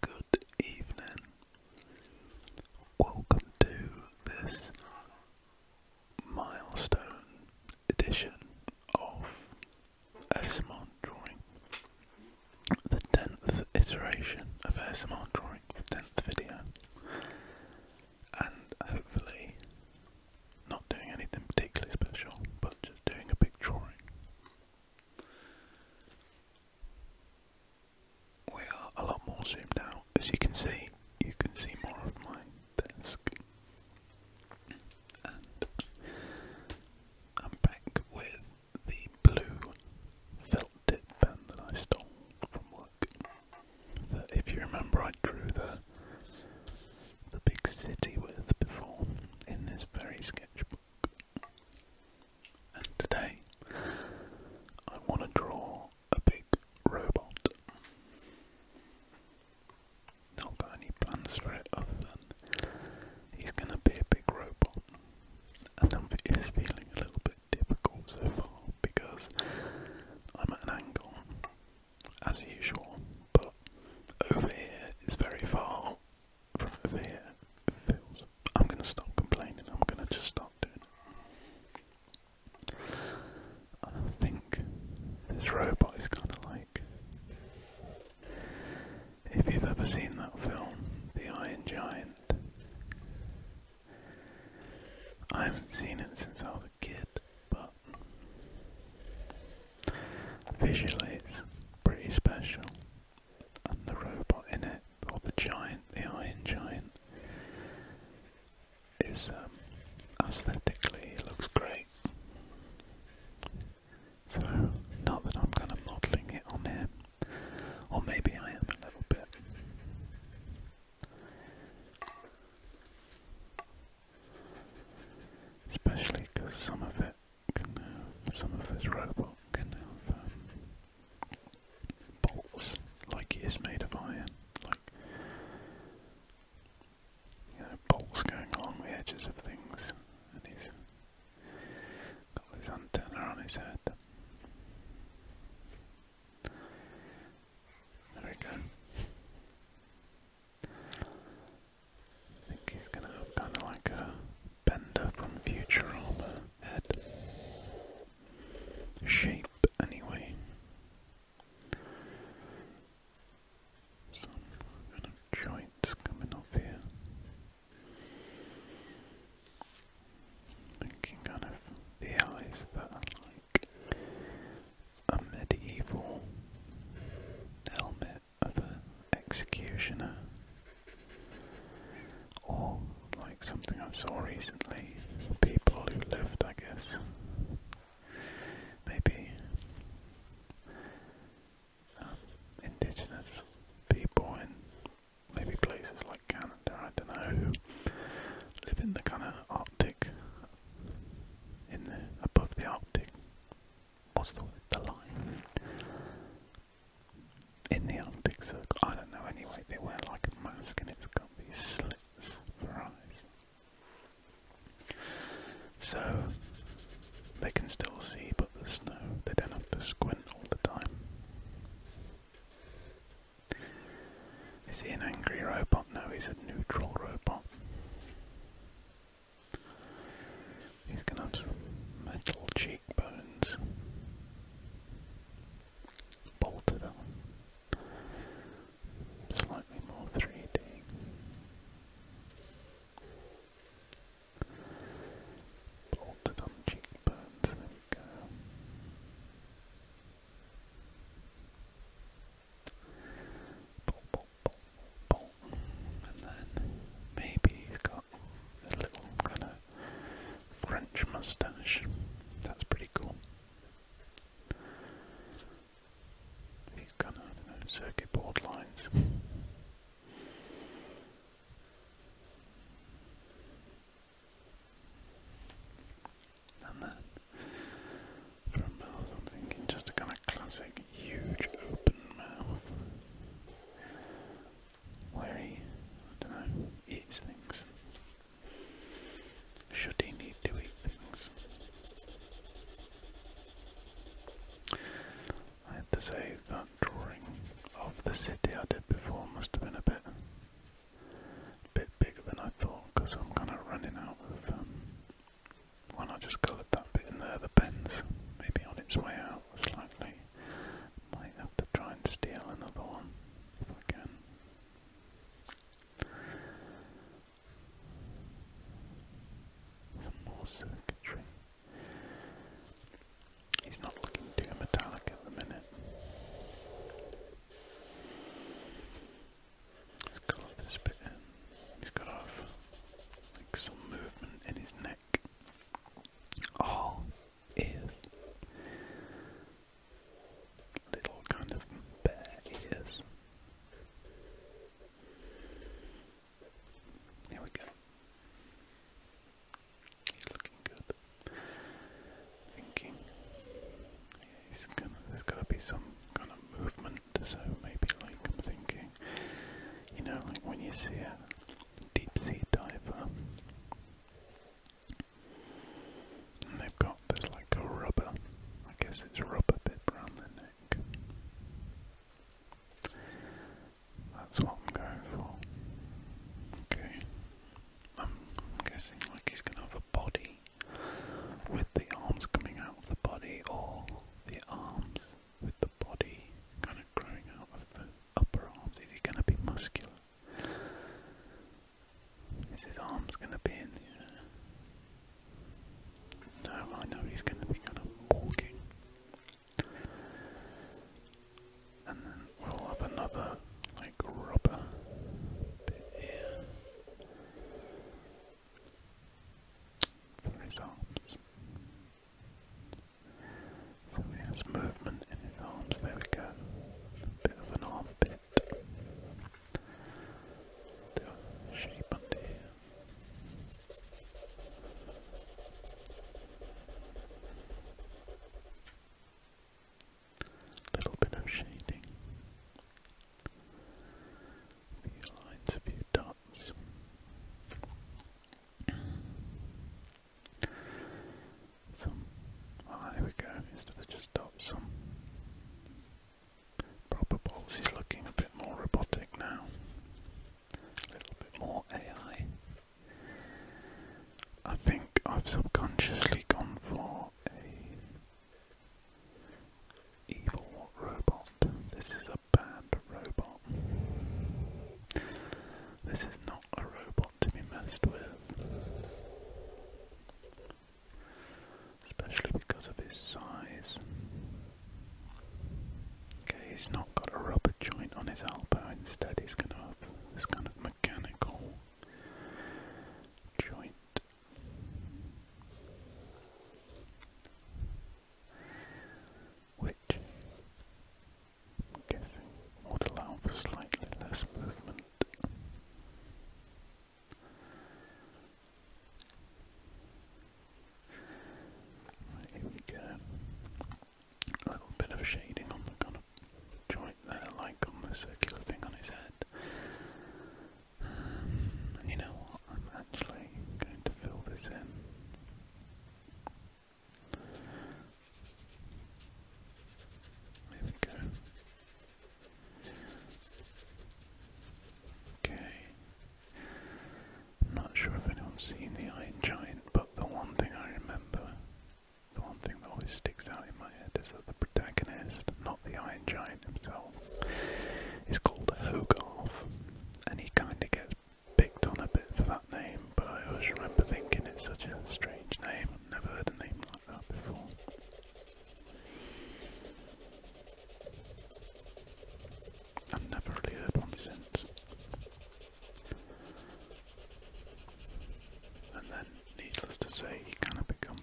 Good evening. Welcome to this milestone edition of ASMR drawing. The 10th iteration of ASMR drawing, the 10th video. And hopefully, not doing anything particularly special, but just doing a big drawing. We are a lot more zoomed out. As you can see, you can see more of my desk. And I'm back with the blue felt tip pen that I stole from work. if you remember I drew the the big city with before in this very sketchbook. And today I want to draw a big robot. Not got any plans for it other than he's going to be a big robot. And I'm, feeling a little bit difficult so far because I'm at an angle, as usual, but over here is very far I'm gonna stop complaining. I'm gonna just stop doing it. I think this robot is kind of like if you've ever seen that film, The Iron Giant. I haven't seen it since I was a kid, but Visually, it's pretty special. And the robot in it, or the giant, the Iron Giant, is um, aesthetically looks great. So, not that I'm kind of modelling it on him, or maybe I am a little bit. Especially because some of it some of this robot can have um, bolts like it is made of iron, like you know, bolts going along the edges of things, and he's got this antenna on his head. There we go. I think he's gonna have kind of like a Bender from Futurama head shape, anyway. Some kind of joints coming off here. Thinking kind of the eyes that are like a medieval helmet an executioner, or like something I saw recently, people who lived, I guess, maybe um, indigenous people in maybe places like Canada, I don't know, live in the kind of Arctic, in the above the Arctic what's the the line in the Arctic I don't know anyway, they wear like a mask and it's got these slits for eyes. So they can still see but the snow, they don't have to squint all the time. Is he an angry robot? No, he's a neutral robot. He's gonna have some metal cheekbones bolted on, slightly more 3D. Bolted on cheekbones, and then maybe he's got a little kind of French moustache. That's pretty cool. kind of circuit board lines. And then for mouth, I'm thinking just a kind of classic, huge, open mouth. Where he, I don't know, eats things. Should he need to eat things? I have to say that drawing of the city I did before must have been a bit, bit bigger than I thought because I'm kind of running out of um, why not just coloured that bit in there? The pen's maybe on its way out slightly. Might have to try and steal another one if I can. Some more circuitry. He's not looking too metallic at the minute. Colour this bit He's got like, some movement in his neck. Oh, ears. Little kind of ears. Here we go. He's looking good. Thinking. he's, gonna, there's to be some kind of movement so maybe like I'm thinking, you know, like when you see a deep sea diver and they've got this like a rubber, I guess it's a rubber bit around the neck. That's what I'm going for. Okay. I'm guessing like he's gonna have a body with the arms coming out of the body or the arms with the body kind of growing out of the upper arms? Is he going to be muscular? Is his arms going to be in the No, I know he's going to be kind of walking. And then we'll have another, like, rubber bit here from his arms. So he has movement in his arms, there we go. bit of an armpit. The shape under here. Little bit of shading few lines, a few dots. Some. Ah, there we go. Instead of just dots, some proper balls. He's looking a bit more robotic now. A little bit more AI. I think I've subconsciously gone for a Evil robot. This is a bad robot. This is not a robot to be messed with. Especially because of his size. Okay, he's not got a rubber joint on his elbow, instead he's gonna have kind of mechanical joint which would allow for slightly less movement. here we go. A little bit of shading on the kind of joint there, like on the circular thing on his head. Um, you know what? I'm actually going to fill this in. There we go. Okay. I'm not sure if anyone's seen the Iron Giant, but the one thing I remember, the one thing that always sticks out in my head is that the protagonist, the Iron Giant himself He's called Hogarth, and he kind of gets picked on a bit for that name, but I always remember thinking it's such a strange name, I've never heard a name like that before. I've never really heard one since. And then, needless to say, he kind of becomes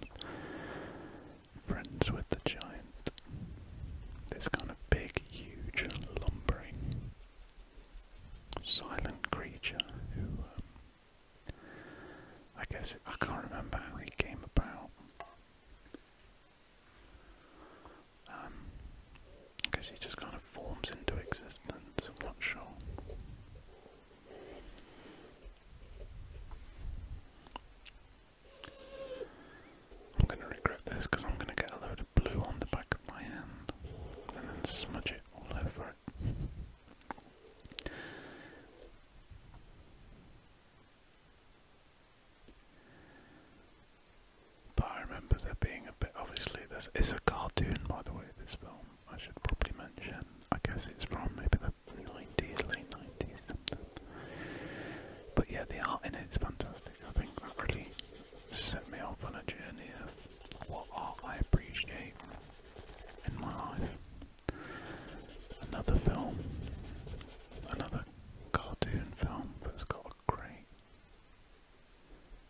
friends with the giant. This kind of big, huge, lumbering, silent creature who, um, I guess, I can't remember how he came about. Because um, I he just kind of forms into existence, I'm not sure. I'm going to regret this because I'm going to get a load of blue on the back of my hand and then smudge it all over it. But I remember there being a bit. Obviously, this is a cartoon, by the way. This film I should probably mention. I guess it's from maybe the nineties, late nineties, something. But yeah, the art in it is fantastic. I think that really set me off on a journey of what art I appreciate in my life. Another film, another cartoon film that's got a great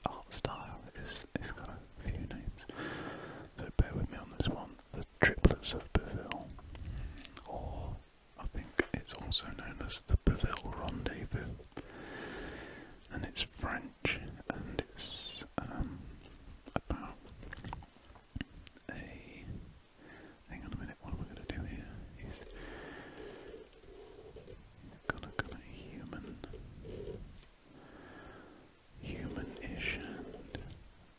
art style. It's, it's got a few names, so bear with me on this one the triplets of Beville, or I think it's also known as the Beville Rendezvous, and it's French and it's um, about a. Hang on a minute, what am I going to do here? He's, he kind of human, human-ish and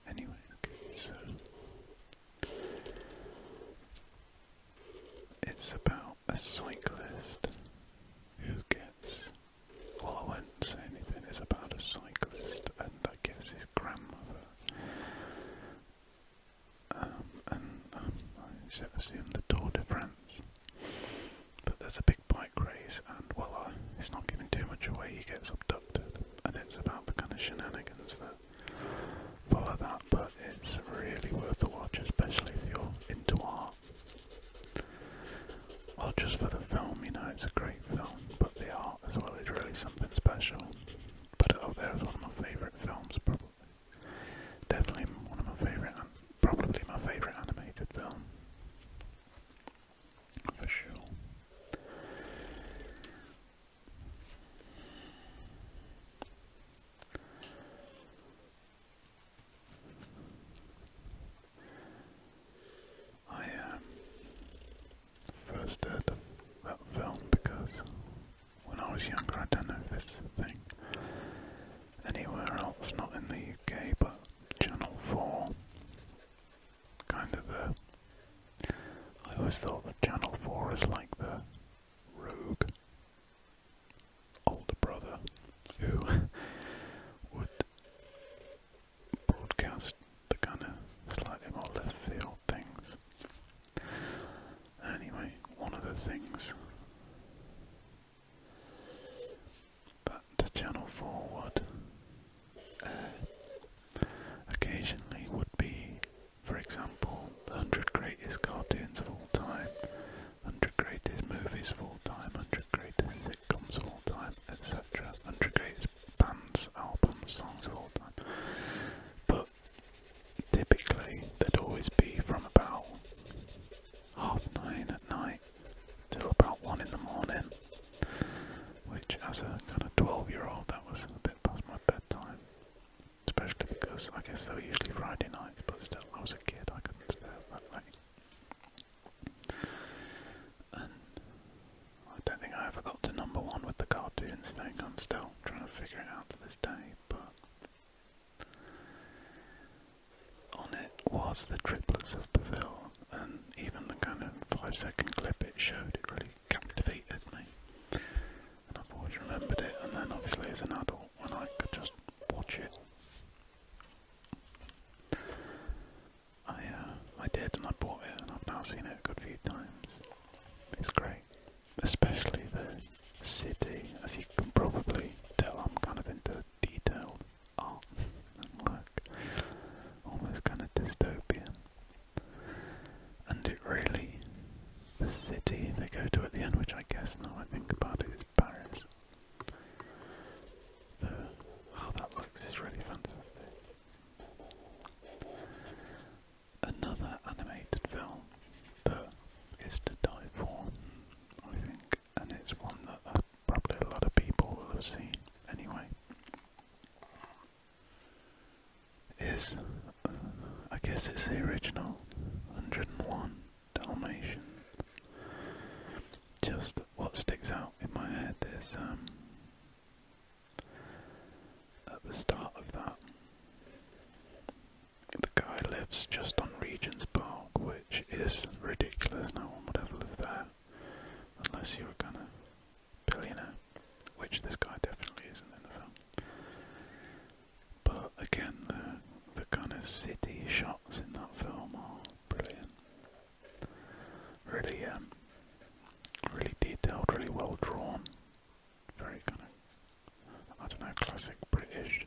Anyway, so it's about a cyclist who gets. Well, I won't say anything. It's about a cyclist and I guess his grandmother. Um, and um, I assume the Tour de France. But there's a big bike race, and well, uh, it's not giving too much away. He gets abducted and it's about the kind of shenanigans that follow that, but it's really worth a watch, especially if you're into art. Well, just for the film, you know, it's a great film, but the art as well is really something special. Put it up there as one of my favourite films, probably. Definitely one of my favourite, probably my favourite animated film. For sure. I um, first heard that film because when I was younger, I don't know this thing anywhere else, not in the UK, but Channel 4 kind of the. I always thought that Channel 4 is like the rogue older brother who would broadcast the kind of slightly more left field things. Anyway, one of the things that Channel 4 would occasionally would be, for example, the 100 greatest cartoons of all time, 100 greatest movies of all time, 100 greatest sitcoms of all time, etc. 100 greatest bands, albums, songs of all time. But typically, they'd always be from about half nine at night till about one in the morning which as a kind of 12 year old that was a bit past my bedtime. Especially because I guess they were usually Friday nights, but still I was a kid, I couldn't stay up that late. I don't think I ever got to number one with the cartoons thing, I'm still trying to figure it out to this day, but on it was the triplets of Beville, and even the kind of five second clip it showed, it really really me. And I've always remembered it, and then obviously as an adult, when I could just watch it. I uh, I did, and I bought it, and I've now seen it a good few times. It's great, especially the city. As you can probably tell, I'm kind of into detailed art and work, almost kind of dystopian. And it really, the city they go to at the end, which I guess now I think about it is Paris. The, how that looks is really fantastic. Another animated film that is to die for, I think, and it's one that uh, probably a lot of people will have seen anyway is, I guess it's the original 101 Dalmatian. Just what sticks out in my head is um, at the start of that, the guy lives just on Regent's Park, which is ridiculous. No one would ever live there unless you are gonna billionaire, which this guy definitely isn't in the film. But again, the the kind of city shots in that film are brilliant. Really, um, really detailed, really well drawn. Very kind of, I don't know, classic British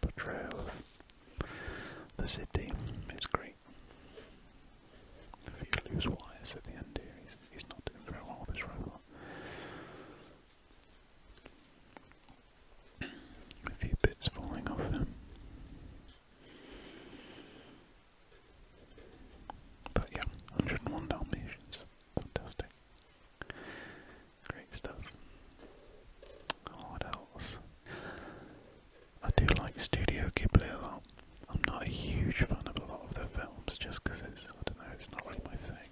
portrayal of the city. It's great. Anyway, if you wires at the end here, he's, not doing very well this his A few bits falling off him. But yeah, 101 Dalmatians. Fantastic. Great stuff. What else? I do like Studio Ghibli a lot. I'm not a huge fan of a lot of the films just because it's, I don't know, it's not like my thing.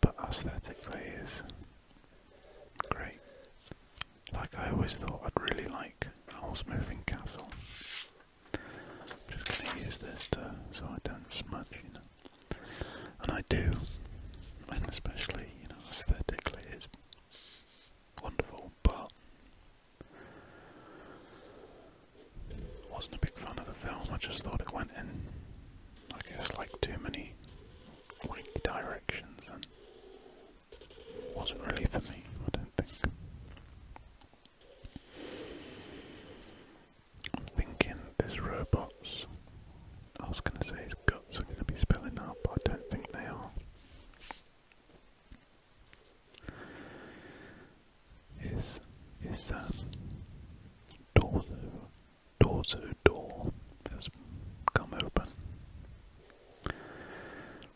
But aesthetically is great. Like I always thought I'd really like Owl's Moving Castle. I'm just going to use this to, so I don't smudge, you know. And I do, and especially, you know, aesthetically it's wonderful, but wasn't a big fan of the film, I just thought it went in, I guess, like too many wanky directions and wasn't really for me, I don't think. I'm thinking there's robots. I was going to say his guts are going to be spilling out, but I don't think they are is is um torso door has come open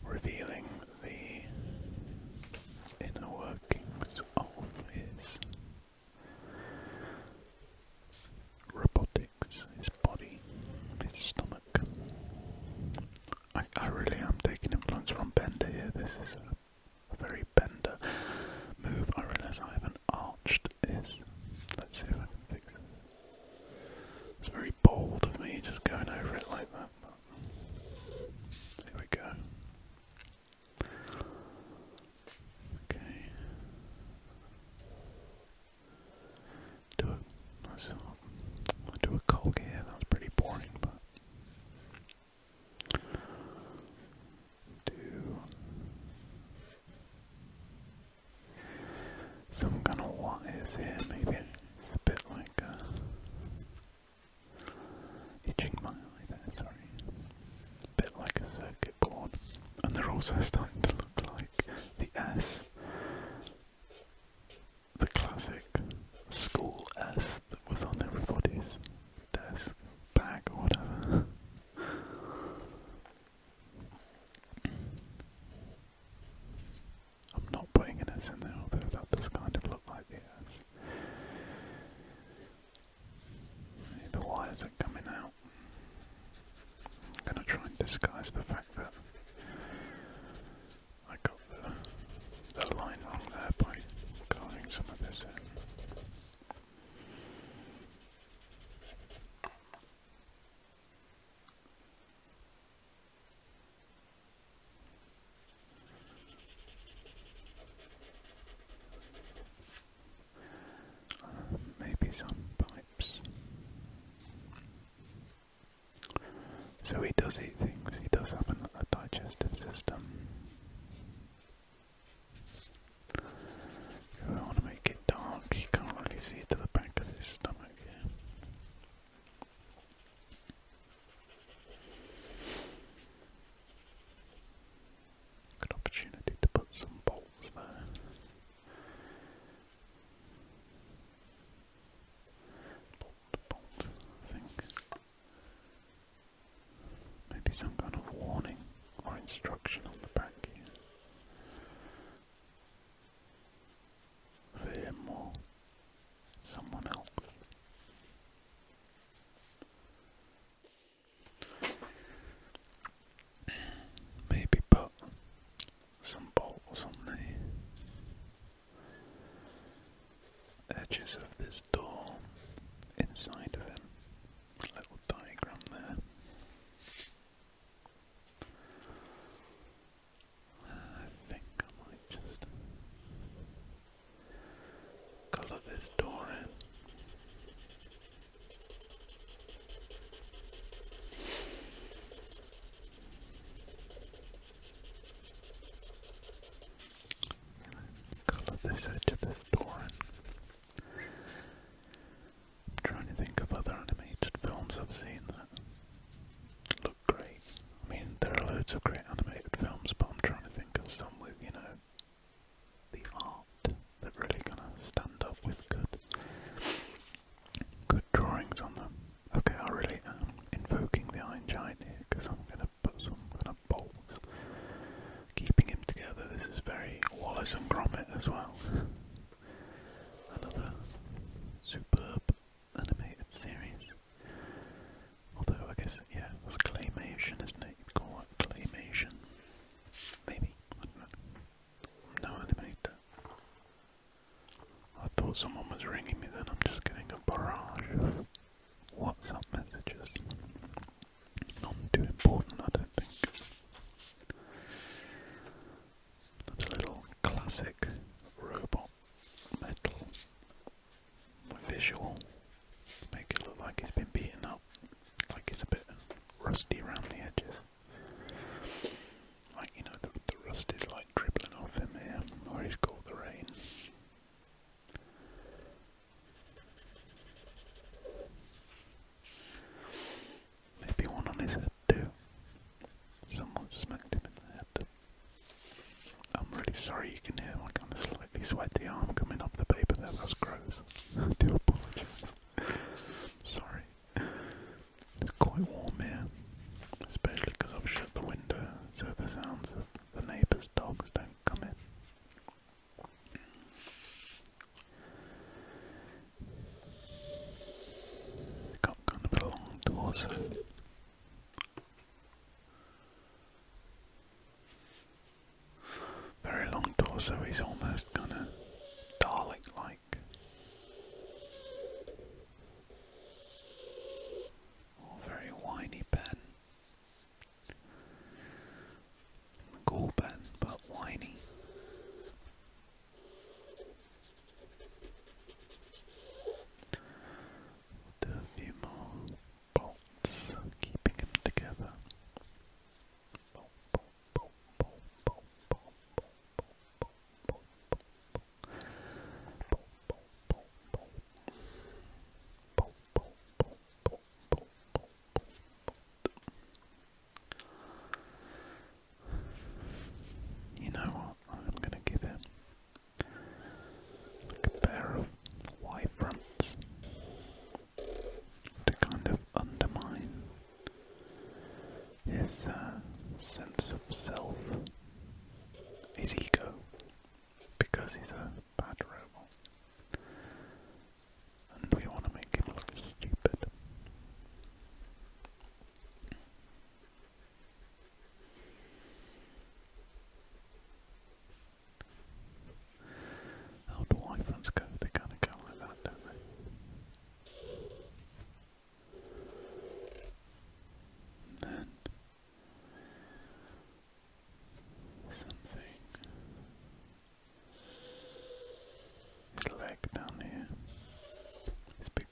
revealing the inner workings of his robotics, his body, his stomach. I, really am taking influence from Bender here. This is a, very Bender move. I realise I haven't arched this. Let's see if I can fix this. It's very bold of me just going over it like that. here we go. Okay do a, I'll do a coke here, yeah, pretty boring, but do some kind of what is here, maybe it's a bit like a uh, itching my eye sorry, a bit like a circuit board, and they're also starting to look like the S the classic school S that was on everybody's desk, bag, or whatever. I'm not putting an S in there, although that does kind of look like the S. The wires are coming out. I'm going to try and disguise the fact that I got the, line wrong there by carving some of this in. maybe some pipes. So he does eat things, he does have a digestive system. I want to make it dark, you can't really see to the back of his stomach Good opportunity to put some bolts there bolt, bolt, Maybe some kind of warning or instruction on the back here. For someone else. Maybe put some bolts on the edges of this door inside of it. little diagram there. I think I might just colour this door in edge of this door. I'm trying to think of other animated films I've seen that look great. I mean, there are loads of great animated films, but I'm trying to think of some with, you know, the art that really gonna stand up with good, good drawings on them. Okay, I really am um, invoking the Iron Giant here because I'm going to put some kind of bolts keeping him together. This is very Wallace and Gromit as well. Another superb animated series. Although I guess, yeah, that's claymation, isn't it? call that claymation. Maybe, no animator. I thought someone was ringing me then, I'm just getting a barrage of WhatsApp messages. Not too important, I don't think. That's a little classic robot metal visual. Make it look like it's been beaten up, like it's a bit rusty around the edges. Like, you know, the, rust is like dribbling off him here, or he's caught the rain. Maybe one on his head too. Someone smacked him in the head. I'm really sorry you can hear my kind of slightly sweaty arm coming off the paper That that's gross. do apologise. sorry. It's quite warm here, especially because I've shut the window so the sounds of the neighbours' dogs don't come in. Got kind of a long torso. Very long torso, he's almost kind of Dalek like oh very whiny pen cool pen but whiny do a few more bolts keeping them together you know what? I'm going to give it like a pair of Y fronts to kind of undermine his uh, sense of self, his ego, because he's a bad robot. And we want to make him look stupid. How do iPhones go? They kind of go that, don't and something little leg down here. It's big.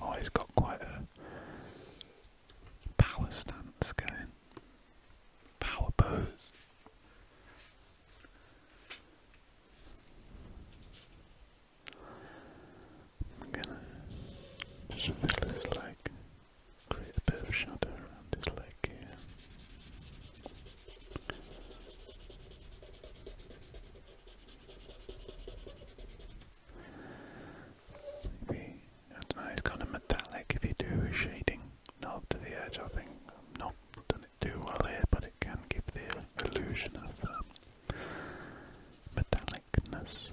Oh, he's got quite a power stance going. Power pose. I'm gonna just fill this leg, create a bit of shadow around this leg here. Maybe, I don't know, it's kind of metallic if you do shading knob to the edge, I think. i done it too well here, but it can give the illusion of um, metallicness,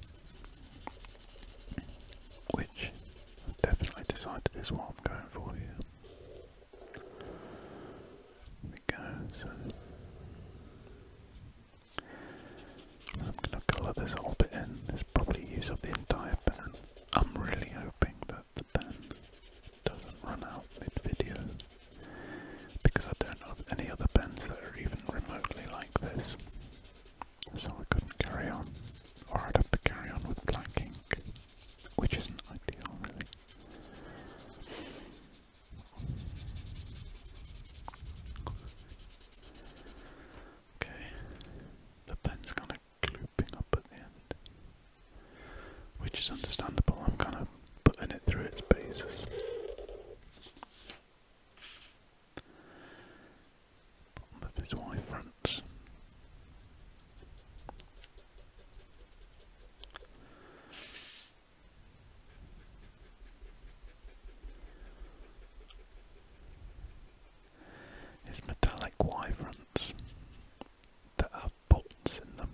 which i definitely decided is what I'm going for here. we go, so I'm going to colour this whole bit in. This probably use up the entire pan. I'm really hoping that the pen doesn't run out mid-video because I don't know of any other pens that are even remotely like this. So I couldn't carry on, or I'd have to carry on with blank which isn't ideal really. Okay, the pen's kind of glooping up at the end which is understandable. I'm kind of putting it through its paces. his Y fronts. His metallic Y fronts there are bolts in them.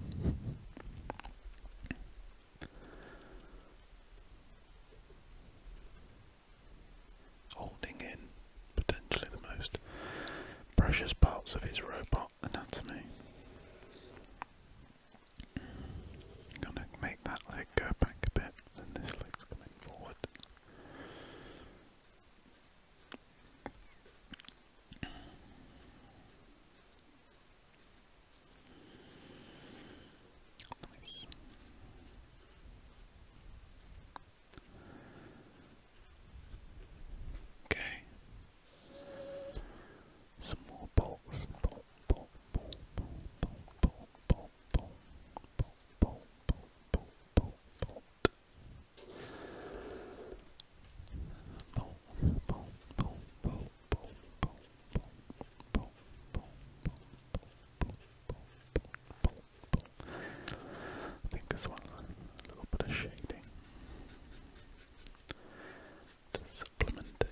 Holding in potentially the most precious parts of his robot anatomy. I'm gonna make that leg go back a bit, and this leg's coming forward. Nice. Okay boom, boom, I think this one a little bit of shading to supplement it.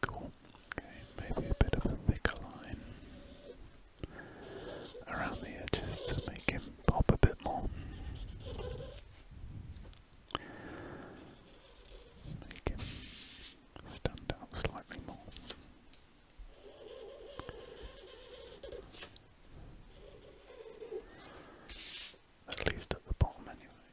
Cool. Okay, maybe a bit of a thicker line around the edges to make him pop a bit more. Make him stand out slightly more. At least at the bottom, anyway.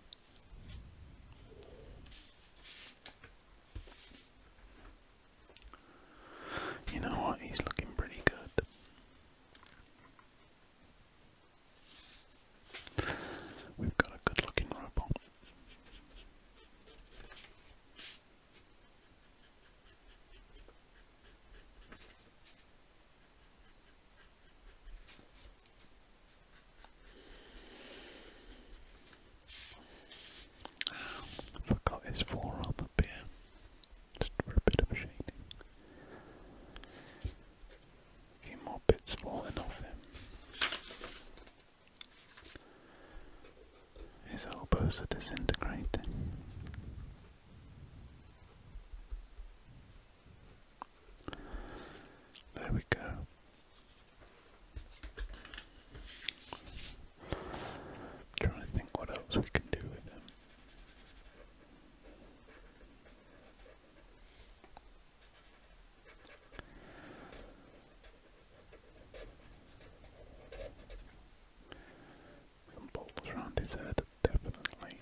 You know what? He's looking pretty good. We've got a good looking robot. forgot his forearm up here, just for a bit of shading. few more bits falling off him. His elbows are disintegrating. There we go. trying to think what else we can do with him. Some bolts around his head, definitely.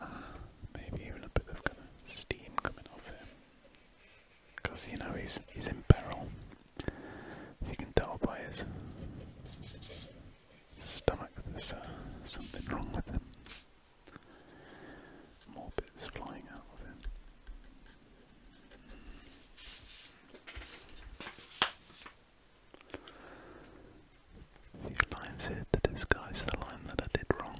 Ah, maybe even a bit of kind of steam coming off him. Because, you know, he's, he's in peril. you can tell by his stomach, there's uh, something wrong with him. More bits flying out of it. The line's here to disguise the line that I did wrong.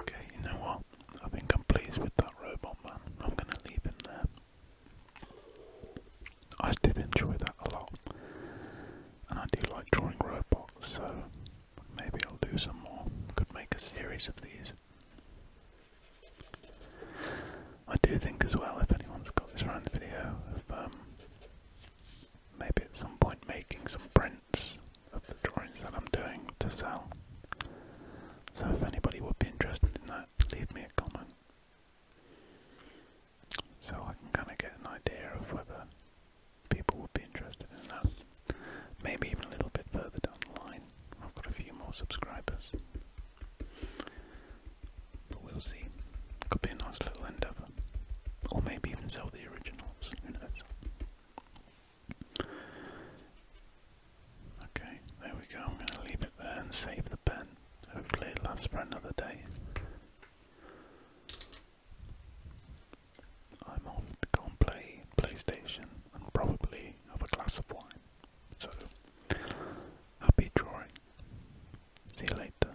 Okay, you know what? I think I'm pleased with that robot man. I'm gonna leave him there. I did enjoy that a lot. And I do like drawing robots, so maybe I'll do some more. Could make a series of these. I do think as well, if anyone's got this around the video, of um, maybe at some point making some prints of the drawings that I'm doing to sell. So if anybody would be interested in that, leave me a comment. So I can kind of get an idea of whether people would be interested in that. Maybe even a little bit further down the line. I've got a few more subscribers. But we'll see. Could be a nice little endeavour. Or maybe even sell the originals, who knows. Okay, there we go. I'm going to leave it there and save the pen. Hopefully, it lasts for another day. I'm off to go and play PlayStation and probably have a glass of wine. So, happy drawing. See you later.